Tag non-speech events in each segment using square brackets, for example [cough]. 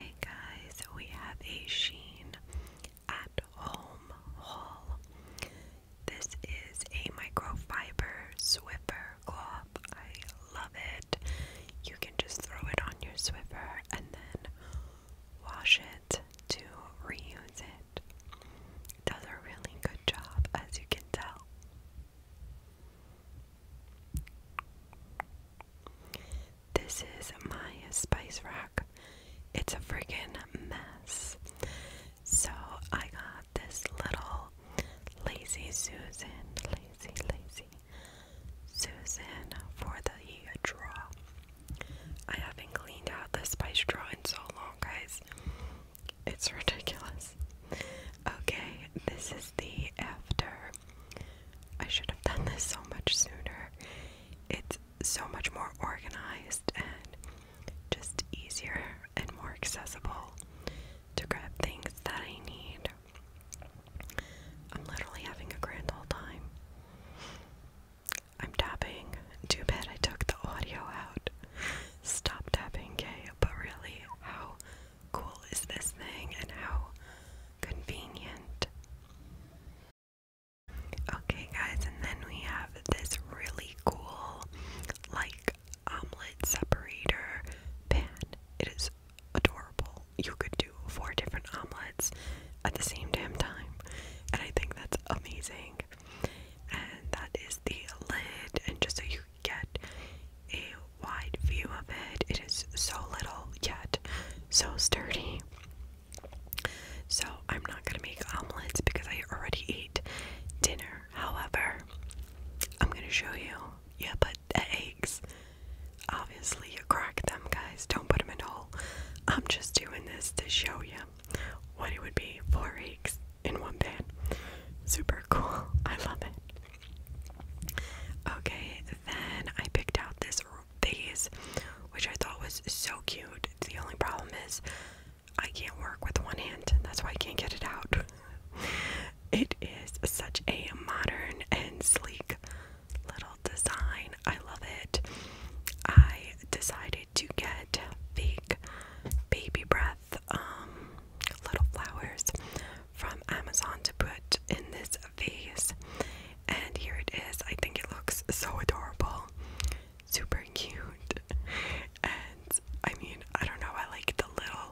Hey guys, we have a Sheen at Home haul. This is a microfiber Swiffer cloth. I love it. You can just throw it on your Swiffer and then wash it to reuse it. does a really good job, as you can tell. This is my spice rack. It's a freaking mess. So I got this little lazy Susan, lazy, lazy Susan for the draw. I haven't cleaned out the spice drawer in so long, guys. It's [laughs] ridiculous. Okay, this is the after. I should have done this so much sooner. It's so much more organized and just easier and more accessible to grab things that I need. I'm literally having a grand old time. I'm tapping. Too bad I took the audio out. Stop tapping, Kay. But really, how cool is this thing and how convenient? Okay, guys, and then we have this really cool, like, omelet separator pan. It is adorable. You could do four different omelets at the same damn time, and I think that's amazing. And that is the lid, and just so you get a wide view of it, it is so little yet so sturdy. So, I'm not gonna make omelets because I already ate dinner. However, I'm gonna show you. Yeah, but eggs. Obviously, you crack them, guys. Don't put them in a I'm just doing this to show you what it would be four eggs in one pan. Super cool. I love it. Okay, then I picked out this vase, which I thought was so cute. The only problem is I can't work with one hand. That's why I can't get it out. [laughs] It is such a modern and sleek little design. I love it. I decided to get fake baby breath um little flowers from Amazon to put in this vase. And here it is. I think it looks so adorable. Super cute. And I mean, I don't know, I like the little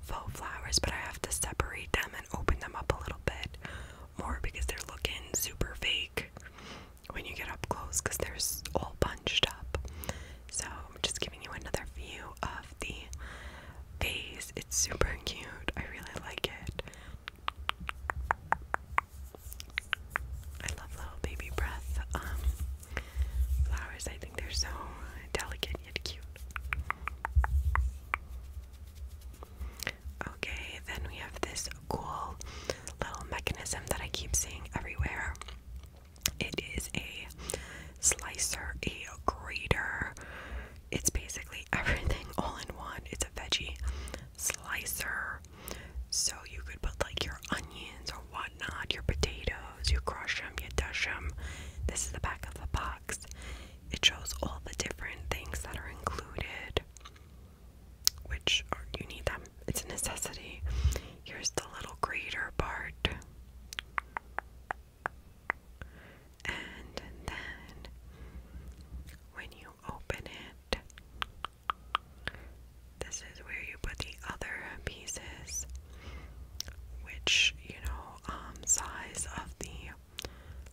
faux flowers, but I have to separate them and open them up a little bit more because they're looking super fake when you get up close because they're all bunched up. So I'm just giving you another view of the face. It's super cute. I really like it. I love little baby breath um, flowers. I think they're so delicate yet cute. Okay, then we have this cool little mechanism that I keep seeing everywhere. It is a slicer, a grater. It's basically [laughs] everything all in one. It's a veggie slicer. So you could put like your onions or whatnot, your potatoes, you crush them, you dash them. This is the back of the box. It shows all the different things that are included, which are, you need them. It's a necessity. Here's the little grater part. And then when you open it, this is where you put the other pieces, which, you know, um, size of the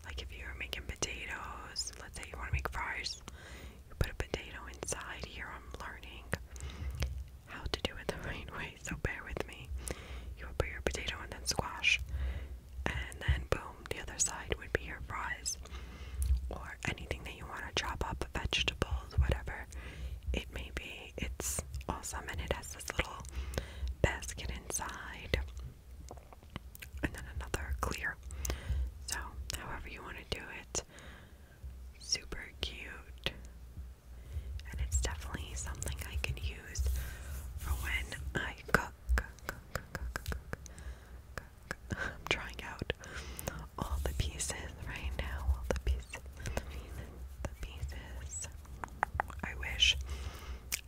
like if you're making potatoes, let's say you want to make fries, you put a potato inside. Here I'm learning how to do it the [laughs] right way, so bear with me. You would put your potato and then squash, and then boom, the other side would be your fries. Or anything that you want to chop up, vegetables, whatever it may be. It's awesome and it has this little basket inside and then another clear. So, however you want to do it, super cute. And it's definitely something I can use for when I cook. [laughs] trying out all the pieces right now. All the pieces, the pieces. I wish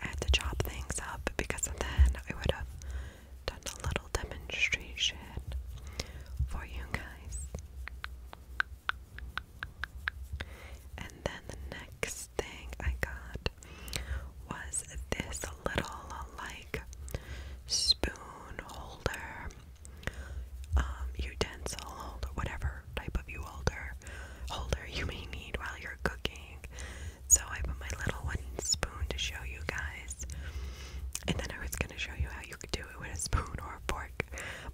I had to chop things up because then I would have done a little demonstration for you guys. And then the next thing I got was this little like spoon holder, um, utensil holder, whatever type of you holder holder you may need while you're cooking. So I put my little wooden spoon to show you guys. And then I was gonna show you how you could do it with a spoon or a fork,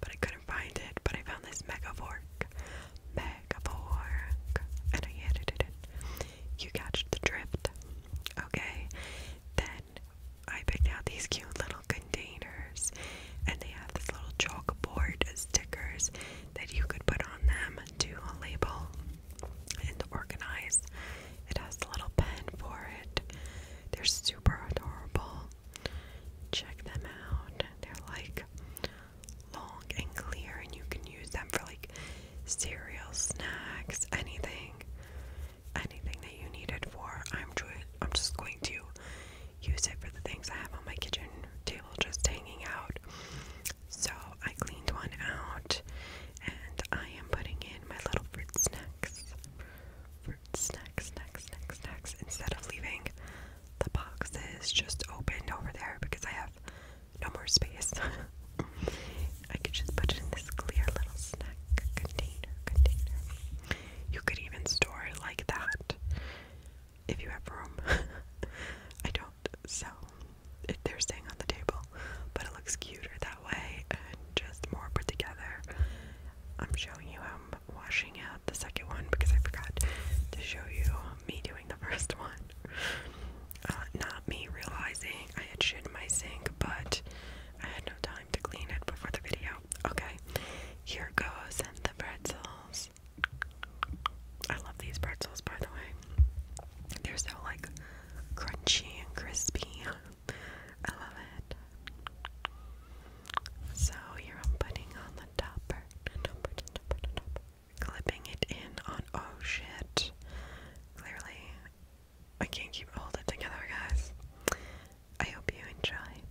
but I couldn't find it. But I found this mega fork. Mega fork. And I edited it. You catch the drift. Okay. Then I picked out these cute little containers and they have this little chalkboard stickers that you could put on them to label and organize. It has a little pen for it. They're super adorable. Check them out. They're like long and clear, and you can use them for like cereal, snacks, anything, anything that you need it for. I'm I'm just going to use it for the things I have on my kitchen table just hanging out. So I cleaned one out and I am putting in my little fruit snacks. Fruit snacks, snacks, snacks, snacks. Instead of leaving the boxes just opened over there because I have no more space. [laughs] I could just put it in this clear little snack container container. You could even store it like that if you have room. [laughs] I don't, so it, they're staying on the table, but it looks cuter that way and just more put together. I'm showing you I'm washing out the second one because I forgot to show you me doing the first [laughs] one. Uh, not me realizing I had shit in my sink, but I had no time to clean it before the video. Okay, here goes and the pretzels. I love these pretzels, by the way. They're so like crunchy and crispy. I love it. So you're am putting on the topper, topper, topper, topper. clipping it in on. Oh shit! Clearly, I can't keep all it together, guys. I hope you enjoyed.